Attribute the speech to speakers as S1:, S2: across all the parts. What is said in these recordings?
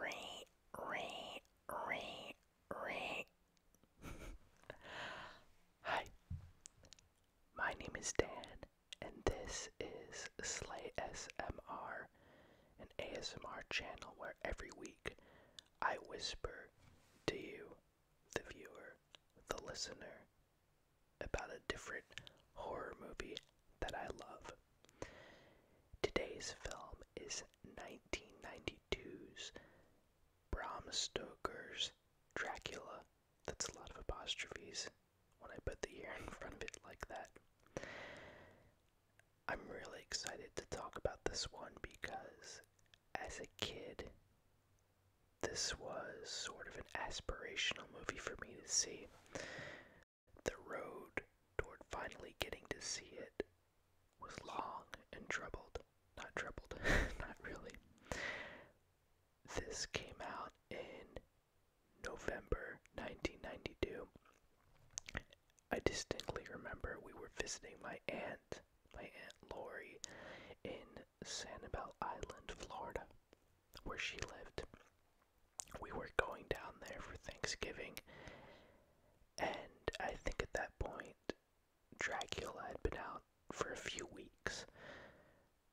S1: Ring, ring, ring, ring. Hi, my name is Dan, and this is Slay SMR, an ASMR channel where every week I whisper to you, the viewer, the listener, about a different horror movie that I love. Today's film is 1992's Bram Stoker's Dracula. That's a lot of apostrophes when I put the year in front of it like that. I'm really excited to talk about this one because as a kid, this was sort of an aspirational movie for me to see. The road toward finally getting to see it was long and troubled. Not troubled, not really. This came out in November 1992. I distinctly remember we were visiting my aunt, my aunt Lori, in Sanibel Island, Florida, where she lived we were going down there for Thanksgiving, and I think at that point, Dracula had been out for a few weeks,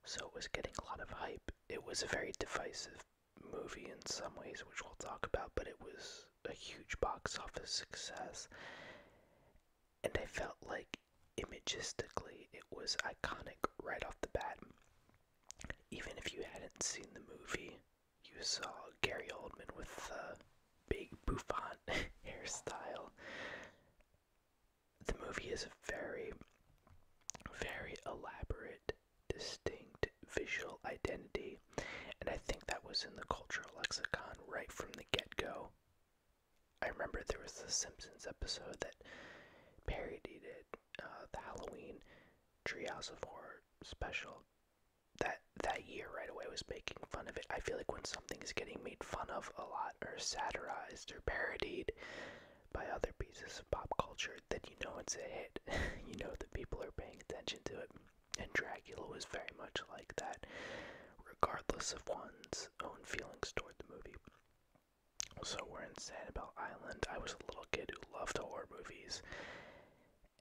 S1: so it was getting a lot of hype. It was a very divisive movie in some ways, which we'll talk about, but it was a huge box office success, and I felt like imagistically it was iconic right off the bat. Even if you hadn't seen the movie, you saw Gary Oldman with the uh, big bouffant hairstyle. The movie is a very, very elaborate, distinct visual identity, and I think that was in the cultural lexicon right from the get go. I remember there was a Simpsons episode that parodied it, uh, the Halloween Treehouse of Horror special, that that year right away was making fun of it. I feel like when something is getting made fun of a lot or satirized or parodied by other pieces of pop culture, then you know it's a hit. you know that people are paying attention to it. And Dracula was very much like that, regardless of one's own feelings toward the movie. So we're in Sanibel Island. I was a little kid who loved horror movies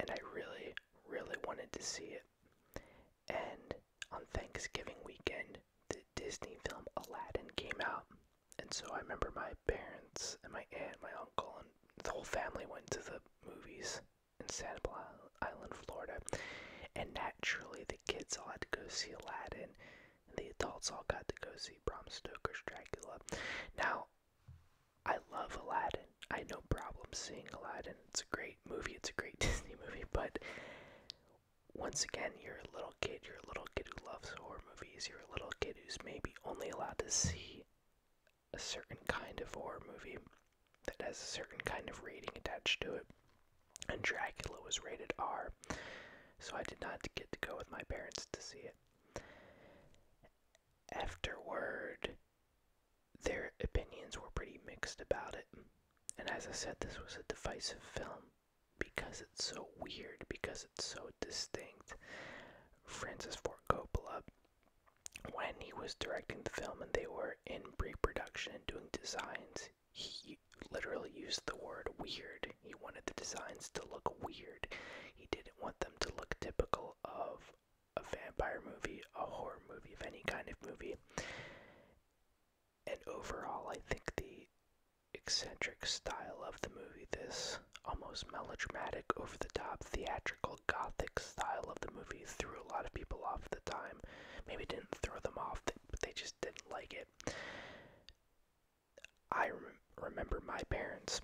S1: and I really, really wanted to see it. And on Thanksgiving weekend, the Disney film Aladdin came out. And so I remember my parents and my aunt, my uncle, and the whole family went to the movies in Santa Island, Florida. And naturally, the kids all had to go see Aladdin, and the adults all got to go see Bram Stoker's Dracula. Now, I love Aladdin. I had no problem seeing Aladdin. It's a great movie. It's a great Disney movie. But once again, you're a little kid. You're a little kid who loves horror movies. You're a little kid who's maybe only allowed to see a certain kind of horror movie that has a certain kind of rating attached to it. And Dracula was rated R. So I did not get to go with my parents to see it. Afterward, their opinions were pretty mixed about it. And as I said, this was a divisive film because it's so weird, because it's so distinct. Francis Ford Coppola, when he was directing the film and they were in pre production and doing designs, he literally used the word weird. He wanted the designs to look weird. He didn't want them to look typical of of a vampire movie, a horror movie of any kind of movie. And overall, I think the eccentric style of the movie, this almost melodramatic, over the top, theatrical, gothic style of the movie, threw a lot of people off at the time. Maybe didn't throw them off, but they just didn't like it. I rem remember my parents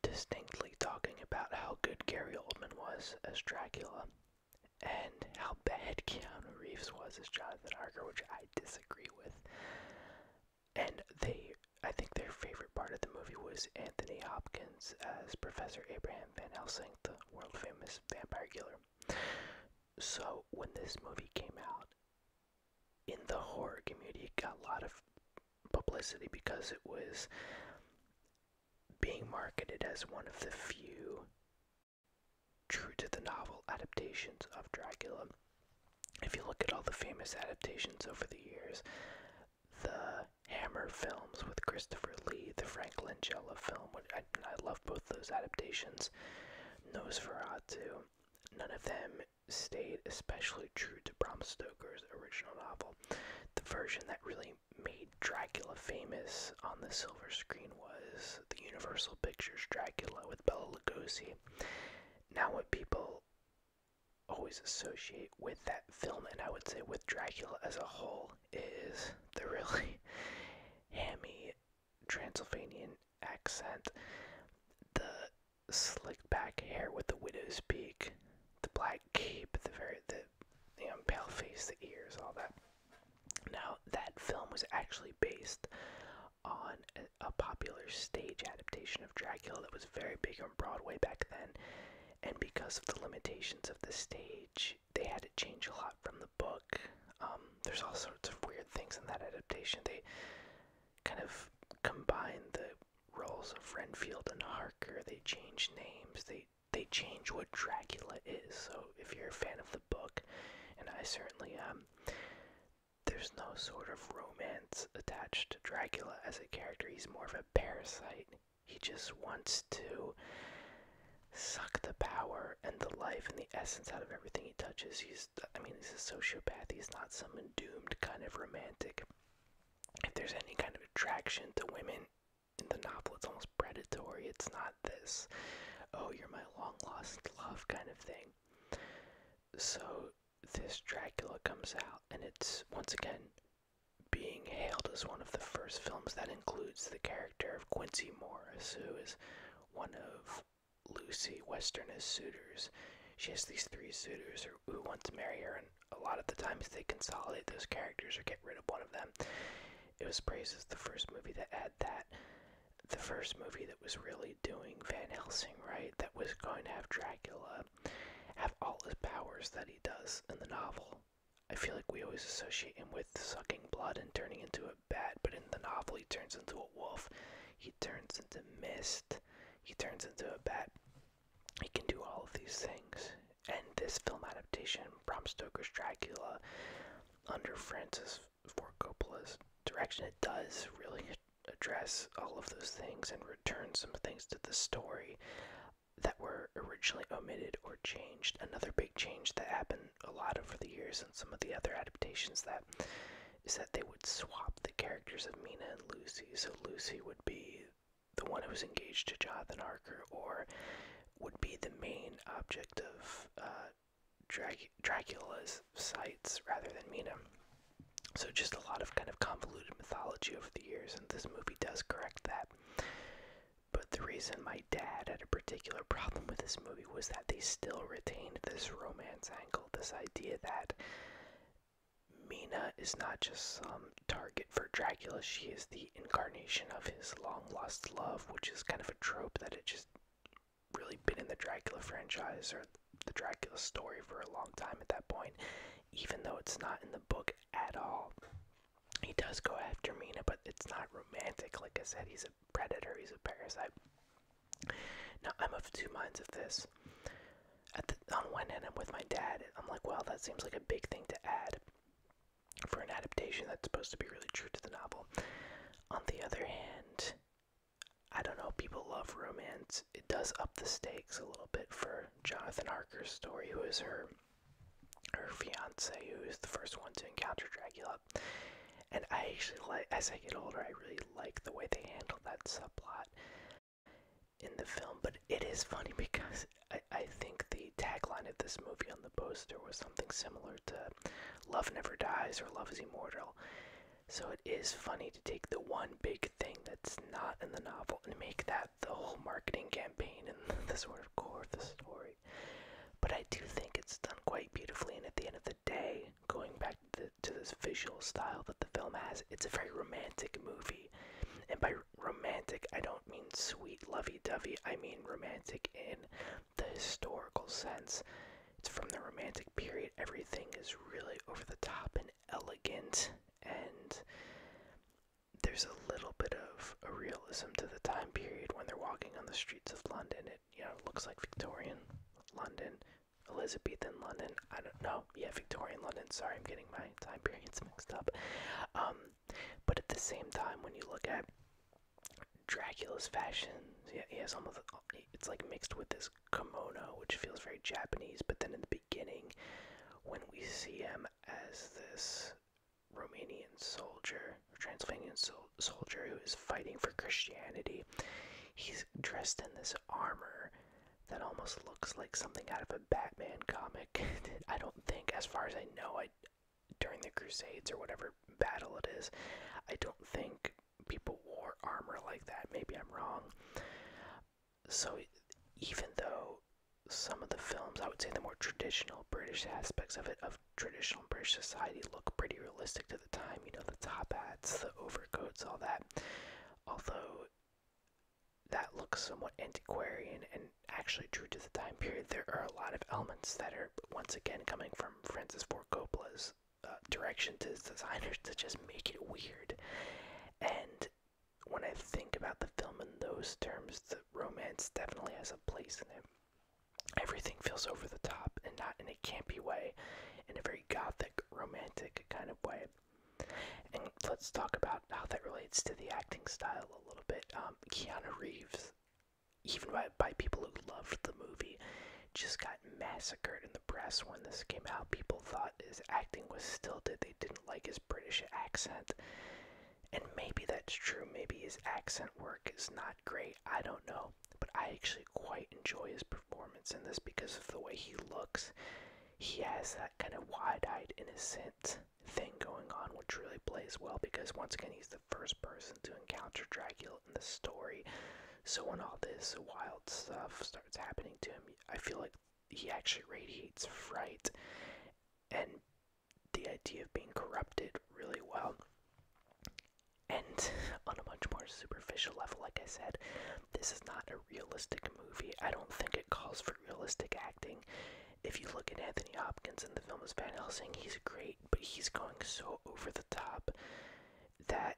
S1: distinctly talking about how good Gary Oldman was as Dracula and how bad Keanu Reeves was as Jonathan Harker, which I disagree with. And they, I think their favorite part of the movie was Anthony Hopkins as Professor Abraham Van Helsing, the world famous vampire killer. So when this movie came out, in the horror community, it got a lot of publicity because it was being marketed as one of the few true to the novel adaptations of Dracula. If you look at all the famous adaptations over the years, the Hammer films with Christopher Lee, the Frank Langella film, which I, I love both those adaptations, Nosferatu, none of them stayed especially true to Bram Stoker's original novel. The version that really made Dracula famous on the silver screen was the Universal Pictures Dracula with Bela Lugosi. Now, what people always associate with that film, and I would say with Dracula as a whole, is the really hammy Transylvanian accent, the slicked back hair with the widow's peak, the black cape, the very the the you um, know, pale face, the ears, all that. Now, that film was actually based on a, popular stage adaptation of Dracula that was very big on Broadway back then. And because of the limitations of the stage, they had to change a lot from the book. Um, there's all sorts of weird things in that adaptation. They kind of combine the roles of Renfield and Harker. They change names. They they change what Dracula is. So if you're a fan of the book, and I certainly am, there's no sort of romance attached to Dracula as a character. He's more of a parasite. He just wants to suck the power and the life and the essence out of everything he touches. He's, I mean, he's a sociopath. He's not some doomed kind of romantic. If there's any kind of attraction to women, in the novel it's almost predatory it's not this oh you're my long lost love kind of thing so this dracula comes out and it's once again being hailed as one of the first films that includes the character of quincy morris who is one of lucy Western's suitors she has these three suitors who wants to marry her, and a lot of the times they consolidate those characters or get rid of one of them. It was praised as the first movie that had that. The first movie that was really doing Van Helsing right, that was going to have Dracula have all the powers that he does in the novel. I feel like we always associate him with sucking blood and turning into a bat, but in the novel, he turns into a wolf, he turns into mist, he turns into a bat. It can do all of these things. And this film adaptation, Bram Stoker's Dracula, under Francis Ford Coppola's direction, it does really address all of those things and return some things to the story that were originally omitted or changed. Another big change that happened a lot over the years and some of the other adaptations that is that they would swap the characters of Mina and Lucy. So Lucy would be the one who was engaged to Jonathan Harker, or would be the main object of uh, Dracula's sights rather than Mina. So just a lot of kind of convoluted mythology over the years, and this movie does correct that. But the reason my dad had a particular problem with this movie was that they still retained this romance angle, this idea that Mina is not just some target for Dracula, she is the incarnation of his long lost love, which is kind of a trope that had just really been in the Dracula franchise or the Dracula story for a long time at that point, even though it's not in the book at all. He does go after Mina, but it's not romantic. Like I said, he's a predator, he's a parasite. Now, I'm of two minds of this. At the, on one end, I'm with my dad. I'm like, well, that seems like a big thing to add for an adaptation that's supposed to be really true to the novel. On the other hand, I don't know, people love romance. It does up the stakes a little bit for Jonathan Harker's story, who is her her fiance, who is the first one to encounter Dracula. And I actually like as I get older, I really like the way they handle that subplot in the film, but it is funny because I, think the tagline of this movie on the poster was something similar to love never dies or love is immortal so it is funny to take the one big thing that's not in the novel and make that the whole marketing campaign and the sort of core of the story but i do think it's done quite beautifully and at the end of the day going back to, the, to this visual style that the film has it's a very romantic movie and by romantic, I don't mean sweet, lovey dovey, I mean romantic in the historical sense. It's from the romantic period. Everything is really over the top and elegant, and there's a little bit of a realism to the time period when they're walking on the streets of London. It, you know, looks like Victorian London, Elizabethan London. I don't know. Yeah, Victorian London. Sorry, I'm getting my time periods mixed up. Um, but at the same time, when you look at Dracula's fashion, he has almost it's like mixed with this kimono, which feels very Japanese. But then in the beginning, when we see him as this Romanian soldier, or Transylvanian soldier who is fighting for Christianity, he's dressed in this armor that almost looks like something out of a Batman comic. I don't think, as far as I know, I during the Crusades or whatever battle it is. I don't think people wore armor like that. Maybe I'm wrong. So even though some of the films, I would say the more traditional British aspects of it, of traditional British society, look pretty realistic to the time. You know, the top hats, the overcoats, all that. Although that looks somewhat antiquarian and actually true to the time period. There are a lot of elements that are once again coming from Francis Ford Coppola's uh, direction to his designers to just make it weird. And when I think about the film in those terms, the romance definitely has a place in it. Everything feels over the top and not in a campy way, in a very gothic, romantic kind of way. And let's talk about how that relates to the acting style a little bit. Um, um, Keanu Reeves, even by, by people who loved the movie, just got massacred in the press when this came out. People thought his acting was stilted, they didn't like his British accent. And maybe that's true, maybe his accent work is not great, I don't know. But I actually quite enjoy his performance in this because of the way he looks. He has that kind of wide eyed innocence thing going on, which really plays well because once again he's the first person to encounter Dracula in the story. So when all this wild stuff starts happening to him, I feel like he actually radiates fright and the idea of being corrupted really well. And on a much more superficial level, like I said, this is not a realistic movie. I don't think it calls for realistic acting. If you look at Anthony Hopkins in the film as Van Helsing, he's great, but he's going so over the top that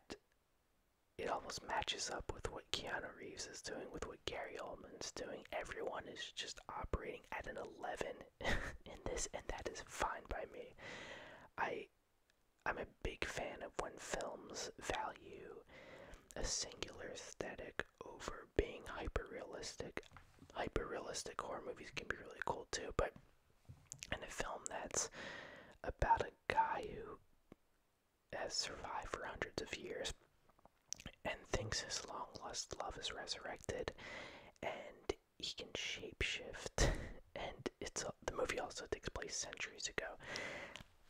S1: it almost matches up with what Keanu Reeves is doing, with what Gary Oldman's doing. Everyone is just operating at an 11 in this, and that is fine by me. I, I'm a big fan of when films value a singular aesthetic over being hyper realistic. Hyper realistic horror movies can be really cool too, but in a film that's about a guy who has survived for hundreds of years and thinks his long lost love is resurrected and he can shapeshift and it's the movie also takes place centuries ago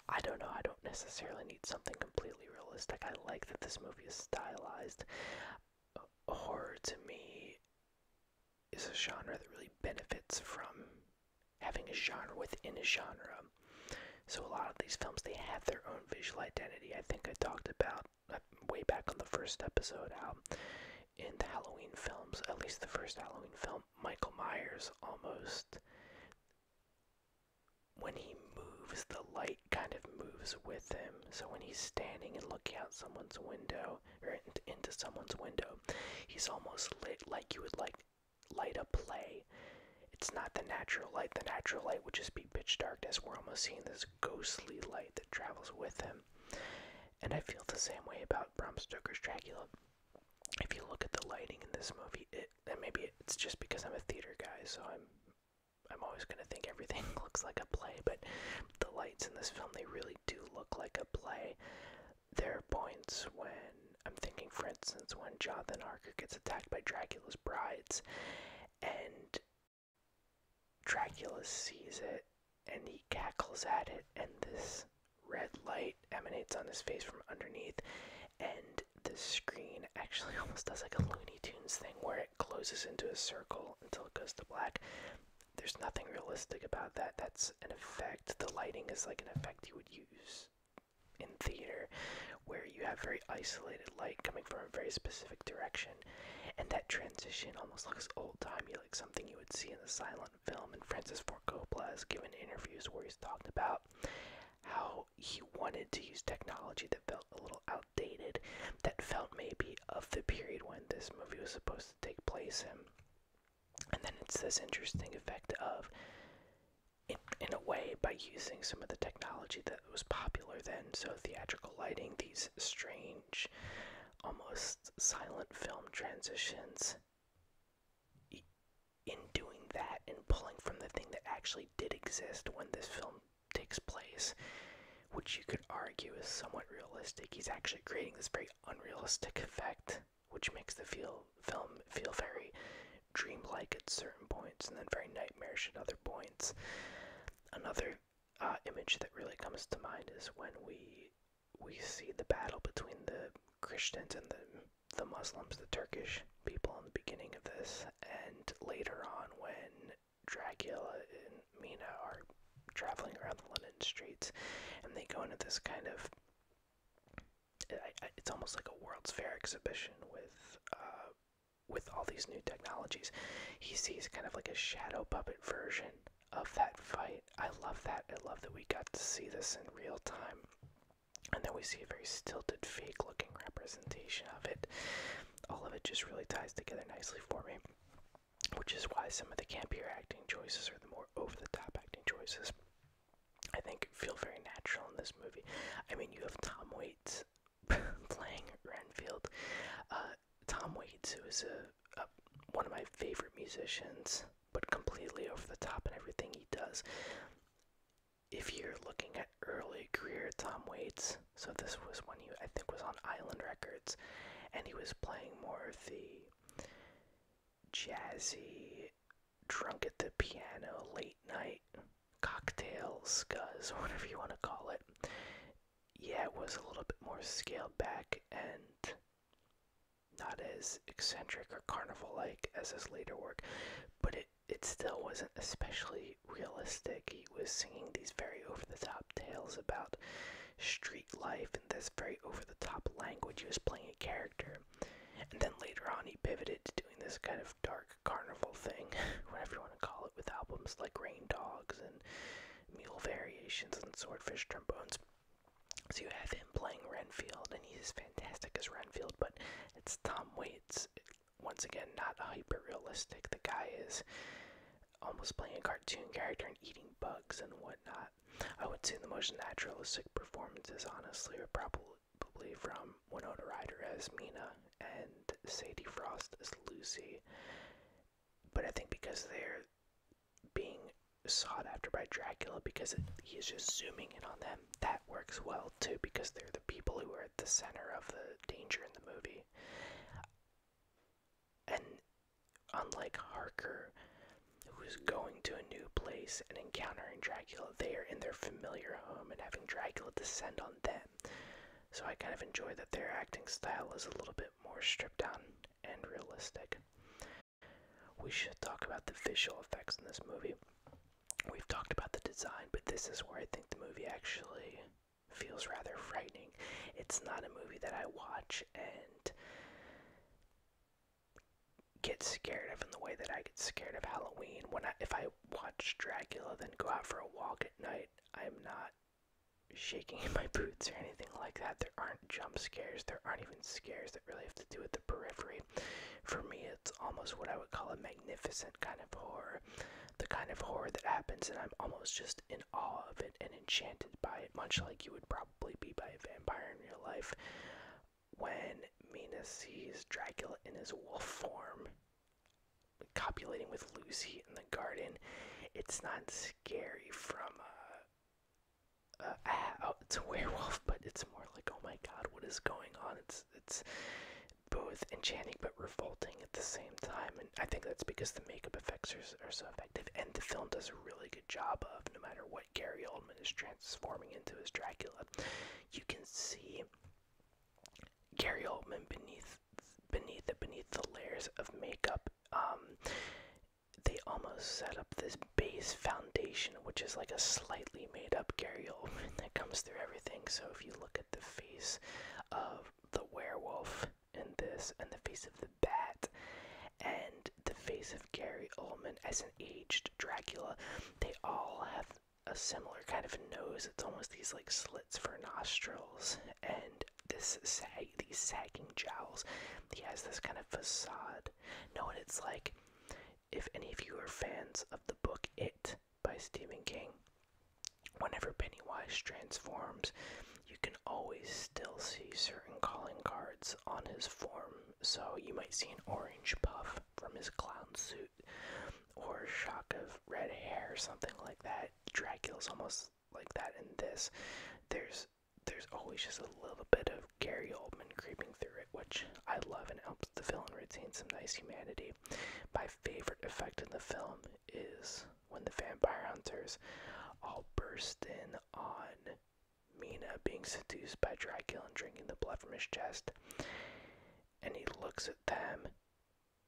S1: i don't know i don't necessarily need something completely realistic i like that this movie is stylized horror to me is a genre that really benefits from having a genre within a genre. So a lot of these films, they have their own visual identity. I think I talked about uh, way back on the first episode how in the Halloween films, at least the first Halloween film, Michael Myers almost when he moves the light kind of moves with him. So when he's standing and looking out someone's window or into someone's window, he's almost lit like you would like light a play. It's not the natural light. The natural light would just be pitch darkness. We're almost seeing this ghostly light that travels with him. And I feel the same way about Bram Stoker's Dracula. If you look at the lighting in this movie, it and maybe it's just because I'm a theater guy, so I'm I'm always going to think everything looks like a play, but the lights in this film, they really do look like a play. There are points when, I'm thinking, for instance, when Jonathan Arker gets attacked by Dracula's brides, and Dracula sees it, and he cackles at it, and this red light emanates on his face from underneath, and the screen actually almost does like a Looney Tunes thing where it closes into a circle until it goes to black. There's nothing realistic about that. That's an effect. The lighting is like an effect you would use in theater where you have very isolated light coming from a very specific direction and that transition almost looks old-timey like something you would see in a silent film and francis ford coppola has given interviews where he's talked about how he wanted to use technology that felt a little out outdated that felt maybe of the period when this movie was supposed to take place in. And then it's this interesting effect of, in, in a way, by using some of the technology that was popular then, so theatrical lighting, these strange, almost silent film transitions. In doing that and pulling from the thing that actually did exist when this film takes place, which you could argue is somewhat realistic. He's actually creating this very unrealistic effect, which makes the feel, film feel very dreamlike at certain points and then very nightmarish at other points. Another uh, image that really comes to mind is when we we see the battle between the Christians and the the Muslims, the Turkish people in the beginning of this, and later on when Dracula and Mina are traveling around the London streets, and they go into this kind of it's almost like a World's Fair exhibition with uh, with all these new technologies. He sees kind of like a shadow puppet version of that fight. I love that. I love that we got to see this in real time. And then we see a very stilted, fake looking representation of it. All of it just really ties together nicely for me which is why some of the campier acting choices or the more over the top acting choices I think feel very natural in this movie. I mean, you have Tom Waits playing Renfield. Uh, Tom Waits, who is a one of my favorite musicians, but completely over the top in everything he does. If you're looking at early career Tom Waits, so this was when he I think was on Island Records and he was playing more of the jazzy drunk at the piano late night cocktails, scuzz or whatever you want to call it. Yeah, it was a little bit more scaled back and not as eccentric or carnival like as his later work, but it it still wasn't especially realistic he was singing these very over the top tales about street life in this very over the top language. He was playing a character. And then later on, he pivoted to doing this kind of dark carnival thing, whatever you want to call it, with albums like Rain Dogs and Mule Variations and Swordfish Trombones. So you have him playing Renfield, and he's fantastic as Renfield, but it's Tom Waits. Once again, not hyper realistic. The guy is almost playing a cartoon character and eating bugs and whatnot. I would say the most naturalistic performances, honestly, are probably from Winona Ryder as Mina and Sadie Frost as Lucy. But I think because they're being sought after by Dracula because he's just zooming in on them, that works well too because they're the people who are at the center of the danger in the movie. And Unlike Harker, who is going to a new place and encountering Dracula, they are in their familiar home and having Dracula descend on them. So I kind of enjoy that their acting style is a little bit more stripped down and realistic. We should talk about the visual effects in this movie. We've talked about the design, but this is where I think the movie actually feels rather frightening. It's not a movie that I watch and get scared of in the way that I get scared of Halloween. When I, if I watch Dracula, then go out for a walk at night, I'm not shaking in my boots or anything like that. There aren't jump scares. There aren't even scares that really have to do with the periphery. For me, it's almost what I would call a magnificent kind of horror. The kind of horror that happens and I'm almost just all of it and enchanted by it, much like you would probably be by a vampire in real life. When Mina sees Dracula in his wolf form, copulating with Lucy in the garden, it's not scary from a, it's a werewolf, but it's more like, oh my god, what is going on? It's it's both enchanting but revolting at the same time, and I think that's because the makeup effects are are so effective, and the film does a really good job of no matter what Gary Oldman is transforming into as Dracula, you can see Gary Oldman beneath beneath the beneath the layers of makeup. Um, they almost set up this base foundation, which is like a slightly made up Gary Oldman that comes through everything. So if you look at the face of the werewolf and this, and the face of the bat, and the face of Gary Oldman as an aged Dracula. They all have a similar kind of nose. It's almost these like slits for nostrils, and this sag, these sagging jowls. He has this kind of facade. No, and it's like if any of you are fans of the book It by Stephen King, whenever Pennywise transforms, you can always still see certain calling cards on his form. So you might see an orange puff from his clown suit or a shock of red hair or something like that. Dracula's almost like that in this. There's there's always just a little bit of Gary Oldman creeping through it, which I love and helps the villain retain some nice humanity. My favorite effect in the film is when the vampire hunters all burst in on Mina being seduced by Dracula and drinking the blood from his chest. And he looks at them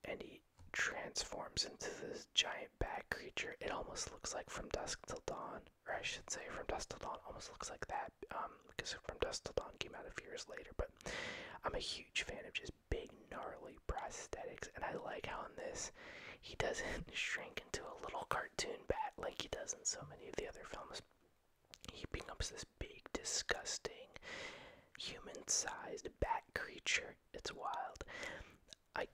S1: and he transforms into this giant bat creature. It almost looks like From Dusk Till Dawn, or I should say From Dusk Till Dawn almost looks like that um, because From Dusk Till Dawn came out a few years later. But I'm a huge fan of just big, gnarly prosthetics, and I like how in this he doesn't shrink Frank into a little cartoon bat like he does in so many of the other films. He becomes this big, disgusting, human sized bat creature. It's wild. I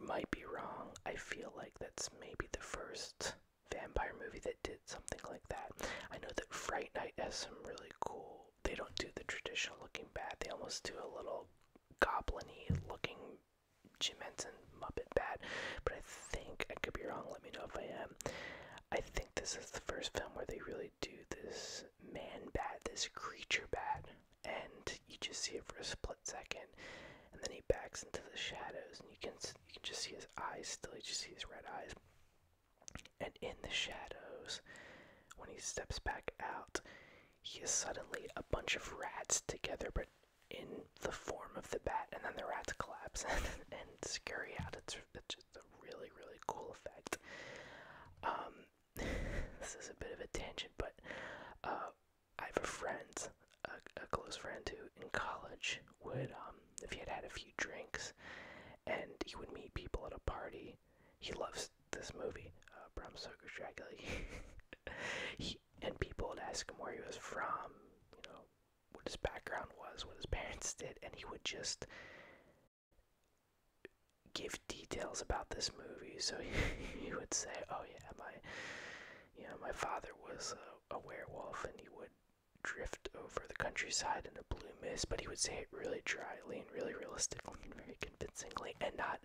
S1: might be wrong. I feel like that's maybe the first vampire movie that did something like that. I know that Fright Night has some really cool. They don't do the traditional looking bat. They almost do a little goblin-y looking Jim Henson Muppet Bat, but I think I could be wrong. Let me know if I am. I think this is the first film where they really do this man bat, this creature bat, and you just see it for a split second, and then he backs into the shadows, and you can you can just see his eyes still. You just see his red eyes, and in the shadows, when he steps back out, he is suddenly a bunch of rats together, but in the form of the bat, and then the rats collapse and, and scurry out. It's, just a really, really cool effect. Um, this is a bit of a tangent, but uh, I have a friend, a, close friend who in college would, um, if he had had a few drinks, and he would meet people at a party. He loves this movie, uh, Bram Stoker's Dracula. college, and people would ask him where he was from, you know, what his background was, what his parents did, and he would just give details about this movie. So he, he would say, "Oh yeah, my, you know, my father was a, a werewolf, and he would." drift over the countryside in a blue mist, but he would say it really dryly and really realistically and very convincingly, and not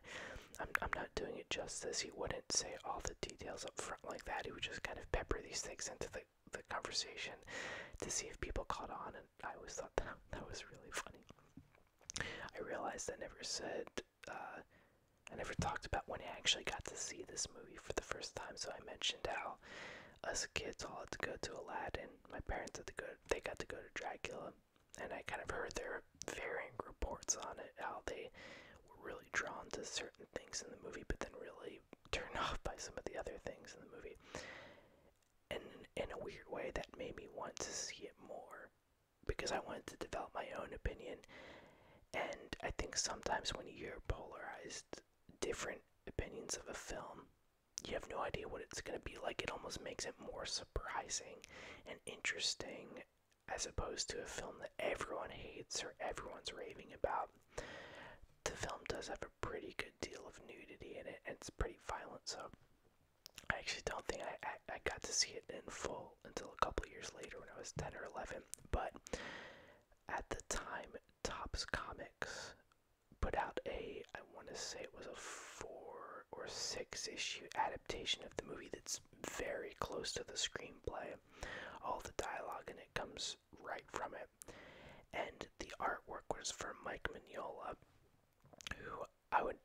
S1: I'm, not doing it justice. He wouldn't say all the details up front like that. He would just kind of pepper these things into the, the conversation to see if people caught on. And I always thought that, that was really funny. I realized I never said, uh, I never talked about when I actually got to see this movie for the first time. So I mentioned how us kids all had to go to Aladdin. My parents had to go, they got to go to Dracula. And I kind of heard their were varying reports on it, how they were really drawn to certain things in the movie, but then really turned off by some of the other things in the movie. And in a weird way, that made me want to see it more because I wanted to develop my own opinion. And I think sometimes when you're polarized, different opinions of a film, you have no idea what it's going to be like. It almost makes it more surprising and interesting as opposed to a film that everyone hates or everyone's raving about. The film does have a pretty good deal of nudity in it, and it's pretty violent, so I actually don't think I, I, got to see it in full until a couple years later when I was 10 or 11. But at the time, Topps Comics put out a, I want to say it was a four or six issue adaptation of the movie that's very close to the screenplay. All the dialogue and it comes right from it. And the artwork was from Mike Mignola, who I would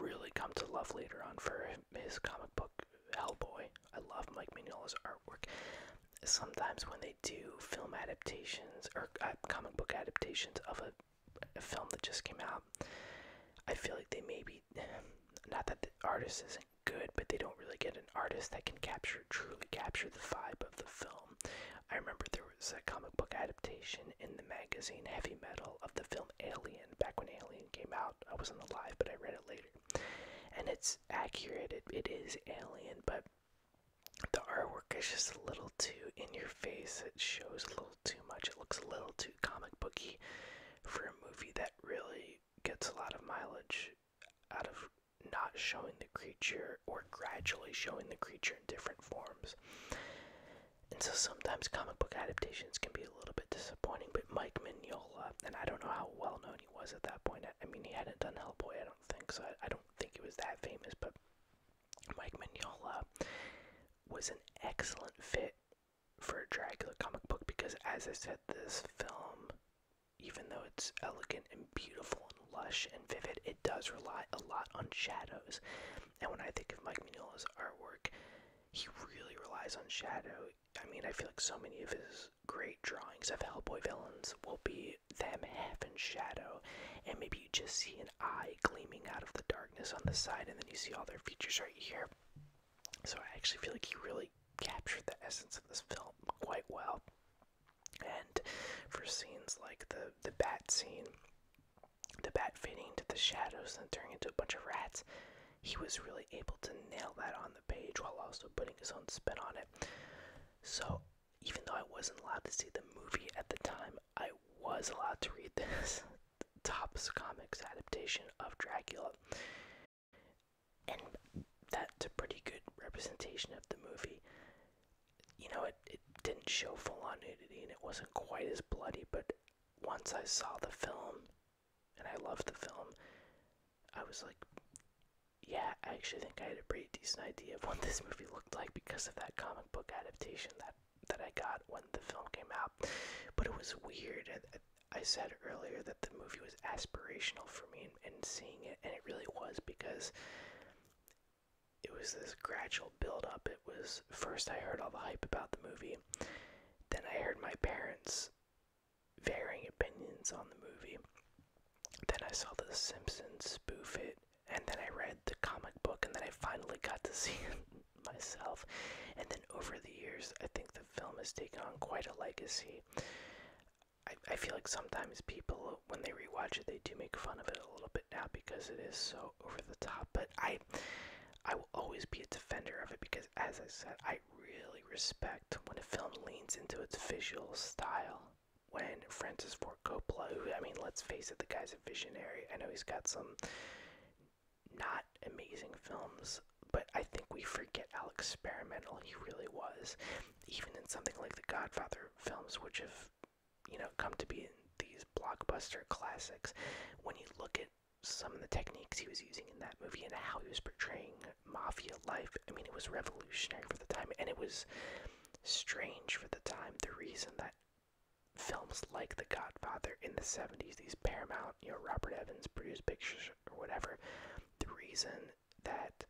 S1: really come to love later on for his comic book Hellboy. I love Mike Mignola's artwork. Sometimes when they do film adaptations or uh, comic book adaptations of a, film that just came out, I feel like they may be not that the artist isn't like good, but they don't really get an artist that can capture truly capture the vibe of the film. I remember there was a comic book adaptation in the magazine Heavy Metal of the film Alien back when Alien came out. I wasn't alive, but I read it later. And it's accurate. It, it is Alien, but the artwork is just a little too in your face. It shows a little too much. It looks a little too comic booky for a movie that really gets a lot of mileage out of not showing the creature or gradually showing the creature in different forms. And so sometimes comic book adaptations can be a little bit disappointing, but Mike Mignola, and I don't know how well known he was at that point. I mean, he hadn't done Hellboy, I don't think, so I, I don't think he was that famous, but Mike Mignola was an excellent fit for a Dracula comic book because, as I said, this film, even though it's elegant and beautiful and lush and vivid, it does rely a lot on shadows. And when I think of Mike Mignola's artwork, he really relies on shadow. I mean, I feel like so many of his great drawings of Hellboy villains will be them half in shadow, and maybe you just see an eye gleaming out of the darkness on the side, and then you see all their features right here. So I actually feel like he really captured the essence of this film quite well. And for scenes like the the bat scene, the bat fading into the shadows and turning into a bunch of rats, he was really able to nail that on the page while also putting his own spin on it. So even though I wasn't allowed to see the movie at the time, I was allowed to read this Topps Comics adaptation of Dracula and that's a pretty good representation of the movie. You know, it, it didn't show full on nudity and it wasn't quite as bloody, but once I saw the film, and I loved the film, I was like, yeah, I actually think I had a pretty decent idea of what this movie looked like because of that comic book adaptation that that I got when the film came out. But it was weird. I said earlier that the movie was aspirational for me and, seeing it, and it really was because it was this gradual build up. It was first I heard all the hype about the movie, then I heard my parents varying opinions on the movie. Then I saw the Simpsons spoof it, and then I read the comic book, and then I finally got to see it myself. And then over the years, I think the film has taken on quite a legacy. I, I feel like sometimes people, when they rewatch it, they do make fun of it a little bit now because it is so over the top. But I, I will always be a defender of it because, as I said, I really respect when a film leans into its visual style. When Francis Ford Coppola, I mean, let's face it, the guy's a visionary. I know he's got some not amazing films but I think we forget how experimental he really was, even in something like the Godfather films, which have, you know, come to be these blockbuster classics. When you look at some of the techniques he was using in that movie and how he was portraying mafia life, I mean, it was revolutionary for the time, and it was strange for the time. The reason that films like The Godfather in the 70s, these Paramount, you know, Robert Evans produced pictures or whatever. The reason that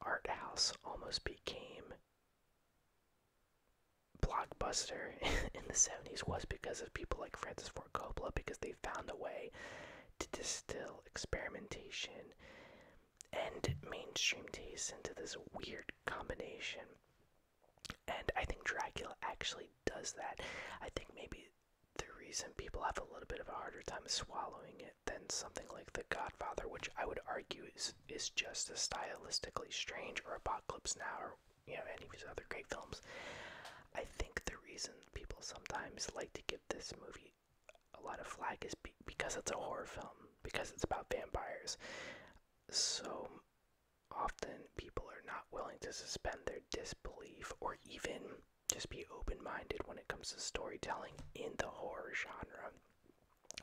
S1: art house almost became blockbuster in the 70s was because of people like Francis Ford Coppola because they found a way to distill experimentation and mainstream taste into this weird combination. And I think Dracula actually does that. I think maybe the reason people have a little bit of a harder time swallowing it than something like The Godfather, which I would argue is is just as stylistically strange, or Apocalypse Now, or you know any of these other great films. I think the reason people sometimes like to give this movie a lot of flak is because it's a horror film, because it's about vampires. So often people are not willing to suspend their disbelief or even just be open minded when it comes to storytelling in the horror genre.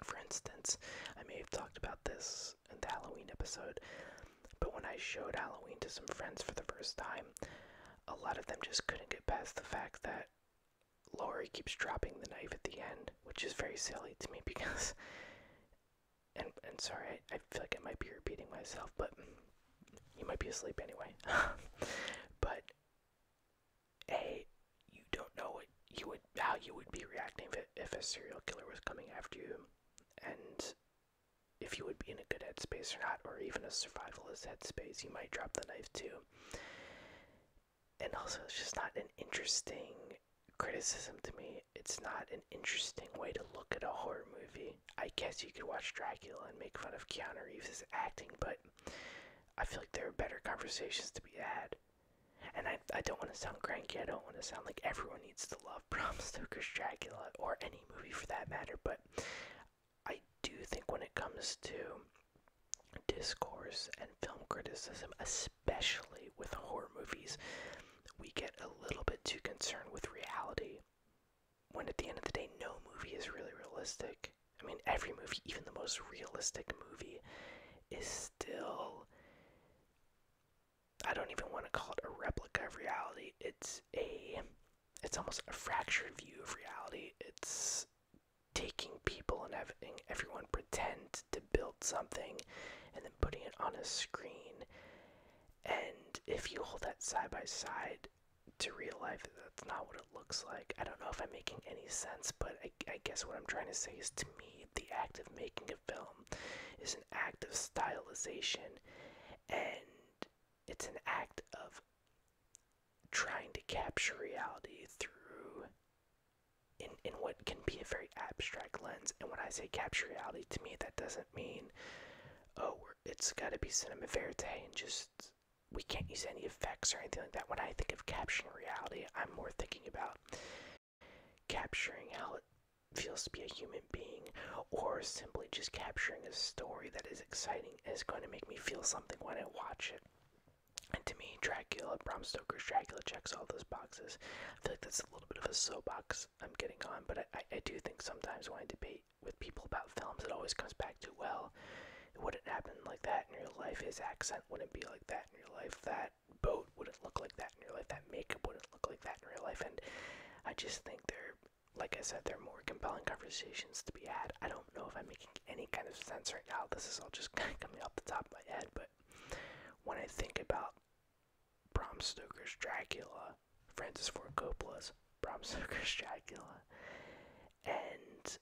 S1: For instance, I may have talked about this in the Halloween episode, but when I showed Halloween to some friends for the first time, a lot of them just couldn't get past the fact that Laurie keeps dropping the knife at the end, which is very silly to me because. And, and sorry, I, I feel like I might be repeating myself, but you might be asleep anyway. but a, you don't know what you would how you would be reacting if, if a serial killer was coming after you, and if you would be in a good headspace or not, or even a survivalist headspace, you might drop the knife too. And also, it's just not an interesting criticism to me. It's not an interesting way to look at a horror movie. I guess you could watch Dracula and make fun of Keanu Reeves' acting, but I feel like there are better conversations to be had. And I, I don't want to sound cranky, I don't want to sound like everyone needs to love Bram Stoker's Dracula, or any movie for that matter, but I do think when it comes to discourse and film criticism, especially with horror movies, we get a little bit too concerned with reality when at the end of the day, no movie is really realistic. I mean, every movie, even the most realistic movie, is still. I don't even want to call it a replica of reality. It's a. It's almost a fractured view of reality. It's taking people and having everyone pretend to build something and then putting it on a screen. And if you hold that side by side, to real life, that's not what it looks like. I don't know if I'm making any sense, but I, guess what I'm trying to say is to me, the act of making a film is an act of stylization and it's an act of trying to capture reality through in, in what can be a very abstract lens. And when I say capture reality, to me, that doesn't mean, oh, it's got to be cinema verite and just we can't use any effects or anything like that. When I think of capturing reality, I'm more thinking about capturing how it feels to be a human being, or simply just capturing a story that is exciting is going to make me feel something when I watch it. And to me, Dracula, Bram Stoker's Dracula checks all those boxes. I feel like that's a little bit of a soapbox I'm getting on, but I, I, do think sometimes when I debate with people about films, it always comes back to, well, it wouldn't happen like that in real life. His accent wouldn't be like that in real life. That boat wouldn't look like that in real life. That makeup wouldn't look like that in real life. And I just think they're, like I said, they're more compelling conversations to be had. I don't know if I'm making any kind of sense right now. This is all just kind of coming off the top of my head. But when I think about Bram Stoker's Dracula, Francis Ford Coppola's Bram Stoker's Dracula, and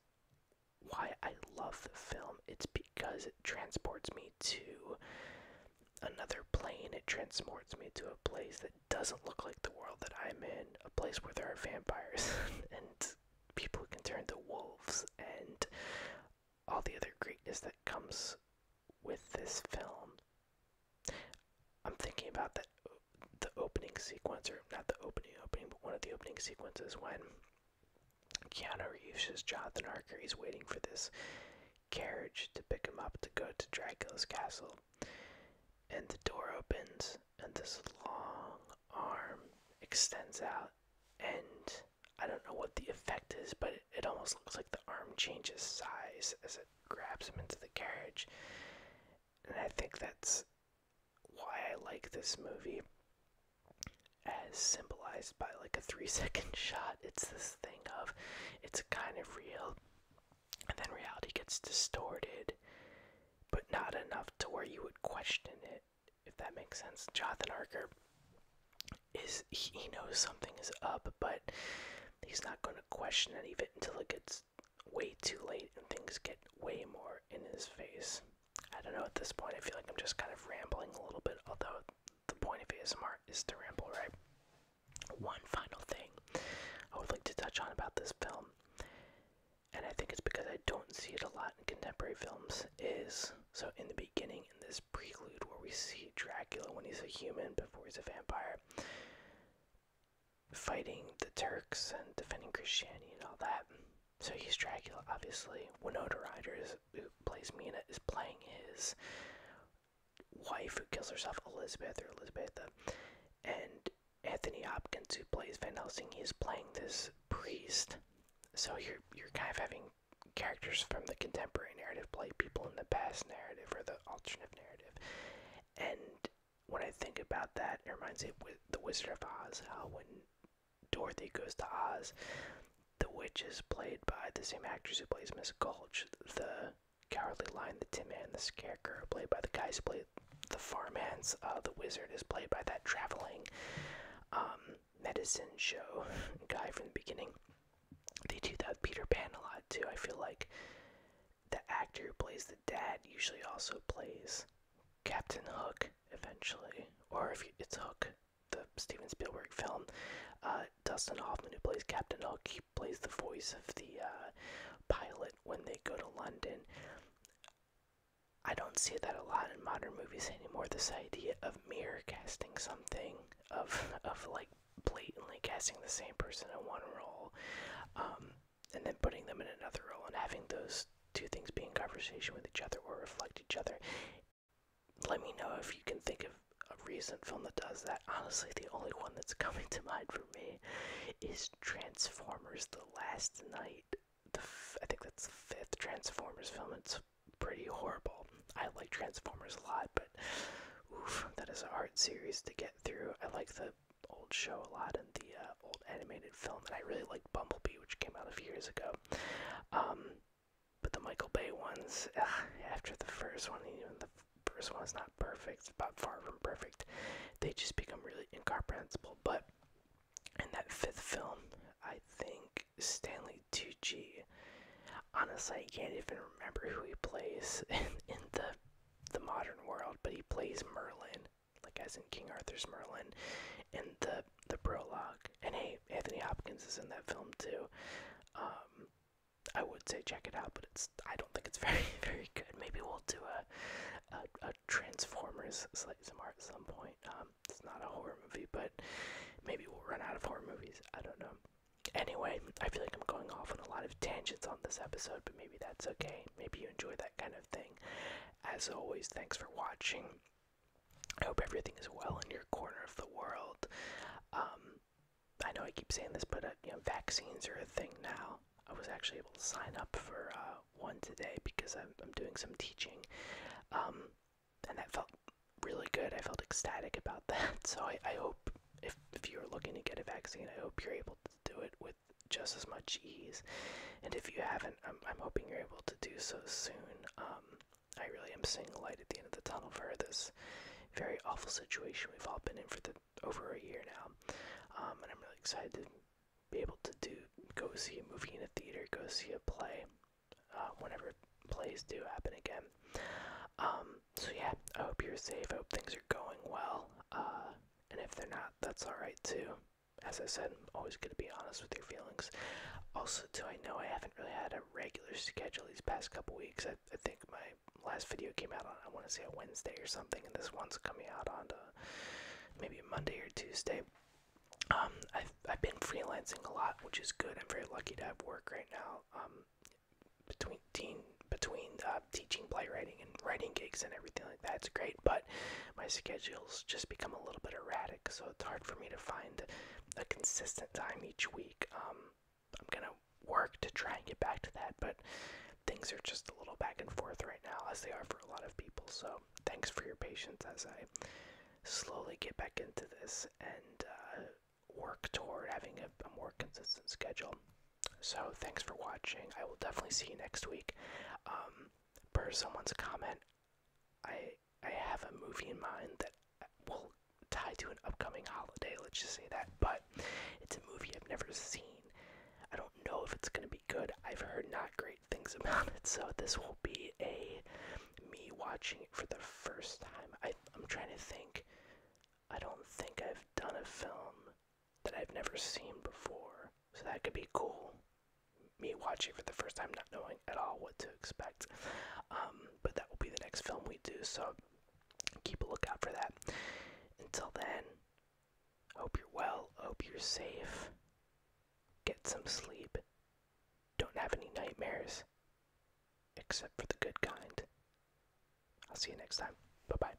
S1: why I love the film. It's because it transports me to another plane. It transports me to a place that doesn't look like the world that I'm in, a place where there are vampires and people who can turn to wolves and all the other greatness that comes with this film. I'm thinking about that the opening sequence, or not the opening opening, but one of the opening sequences when Keanu Reeves Jonathan Harker is waiting for this carriage to pick him up to go to Dracula's castle. And the door opens, and this long arm extends out, and I don't know what the effect is, but it almost looks like the arm changes size as it grabs him into the carriage. And I think that's why I like this movie as symbolized by like a three second shot. It's this thing of it's kind of real, and then reality gets distorted, but not enough to where you would question it, if that makes sense. Jonathan Arker is he knows something is up, but he's not going to question any of it until it gets way too late and things get way more in his face. I don't know at this point. I feel like I'm just kind of rambling a little bit, although the point of ASMR is to ramble, right? One final thing I would like to touch on about this film, and I think it's because I don't see it a lot in contemporary films, is so in the beginning, in this prelude where we see Dracula when he's a human before he's a vampire, fighting the Turks and defending Christianity and all that. So he's Dracula, obviously. Winona Ryder, who plays Mina, is playing his wife who kills herself, Elizabeth or Elizabetha. Uh, and Anthony Hopkins, who plays Van Helsing, is playing this priest. So you're, you're kind of having characters from the contemporary narrative play people in the past narrative or the alternative narrative. And when I think about that, it reminds me with The Wizard of Oz, how when Dorothy goes to Oz, the witch is played by the same actress who plays Miss Gulch, the Cowardly Lion, the Tin Man, the Scarecrow, played by the guys who played the farmhands, uh, the wizard is played by that traveling um, medicine show guy from the beginning. They do that Peter Pan a lot too. I feel like the actor who plays the dad usually also plays Captain Hook eventually, or if it's Hook, the Steven Spielberg film. Uh, Dustin Hoffman, who plays Captain Hook, he plays the voice of the uh, pilot when they go to London. I don't see that a lot in modern movies anymore. This idea of mirror casting something, of of like blatantly casting the same person in one role. Um, and then putting them in another role and having those two things be in conversation with each other or reflect each other. Let me know if you can think of a recent film that does that. Honestly, the only one that's coming to mind for me is Transformers The Last Night. The f I think that's the fifth Transformers film. It's pretty horrible. I like Transformers a lot, but oof, that is a hard series to get through. I like the old show a lot and the uh, old animated film, and I really like Bumblebee, which came out a few years ago. Um, but the Michael Bay ones, after the first one, even the first one is not perfect, but far from perfect, they just become really incomprehensible. But in that fifth film, I think Stanley Tucci. Honestly, I can't even remember who he plays in, in the the modern world, but he plays Merlin, like as in King Arthur's Merlin, and the the prologue. And hey, Anthony Hopkins is in that film too. Um, I would say check it out, but it's I don't think it's very very good. Maybe we'll do a a, Transformers slice some at some point. Um, it's not a horror movie, but maybe we'll run out of horror movies. I don't know. Anyway, I feel like I'm going off on a lot of tangents on this episode, but maybe that's okay. Maybe you enjoy that kind of thing. As always, thanks for watching. I hope everything is well in your corner of the world. Um, I know I keep saying this, but uh, you know, vaccines are a thing now. I was actually able to sign up for uh, one today because I'm, doing some teaching, um, and that felt really good. I felt ecstatic about that. So I, I hope if if you're looking to get a vaccine, I hope you're able to do it with just as much ease. And if you haven't, I'm, I'm hoping you're able to do so soon. Um, I really am seeing light at the end of the tunnel for this very awful situation we've all been in for the over a year now. Um, and I'm really excited to be able to do go see a movie in a theater, go see a play, uh, whenever plays do happen again. Um, so yeah, I hope you're safe. I hope things are going well. Uh, and if they're not, that's all right too as I said, I'm always going to be honest with your feelings. Also, do I know I haven't really had a regular schedule these past couple weeks. I, I think my last video came out on, I want to say, a Wednesday or something, and this one's coming out on uh, maybe Monday or Tuesday. Um, I've, I've been freelancing a lot, which is good. I'm very lucky to have work right now. Um, between teen, between uh, teaching playwriting and writing gigs and everything like that, it's great. But my schedule's just become a little bit erratic, so it's hard for me to find a consistent time each week. Um, I'm gonna work to try and get back to that, but things are just a little back and forth right now, as they are for a lot of people. So thanks for your patience as I slowly get back into this and uh, work toward having a, more consistent schedule. So thanks for watching. I will definitely see you next week. Um, per someone's comment, I I have a movie in mind that will tie to an upcoming holiday. Let's just say that, but it's a movie I've never seen. I don't know if it's gonna be good. I've heard not great things about it, so this will be a me watching it for the first time. I, I'm trying to think. I don't think I've done a film that I've never seen before, so that could be cool me watching for the first time, not knowing at all what to expect. Um, but that will be the next film we do, so keep a lookout for that. Until then, hope you're well, hope you're safe, get some sleep, don't have any nightmares, except for the good kind. I'll see you next time. Bye bye.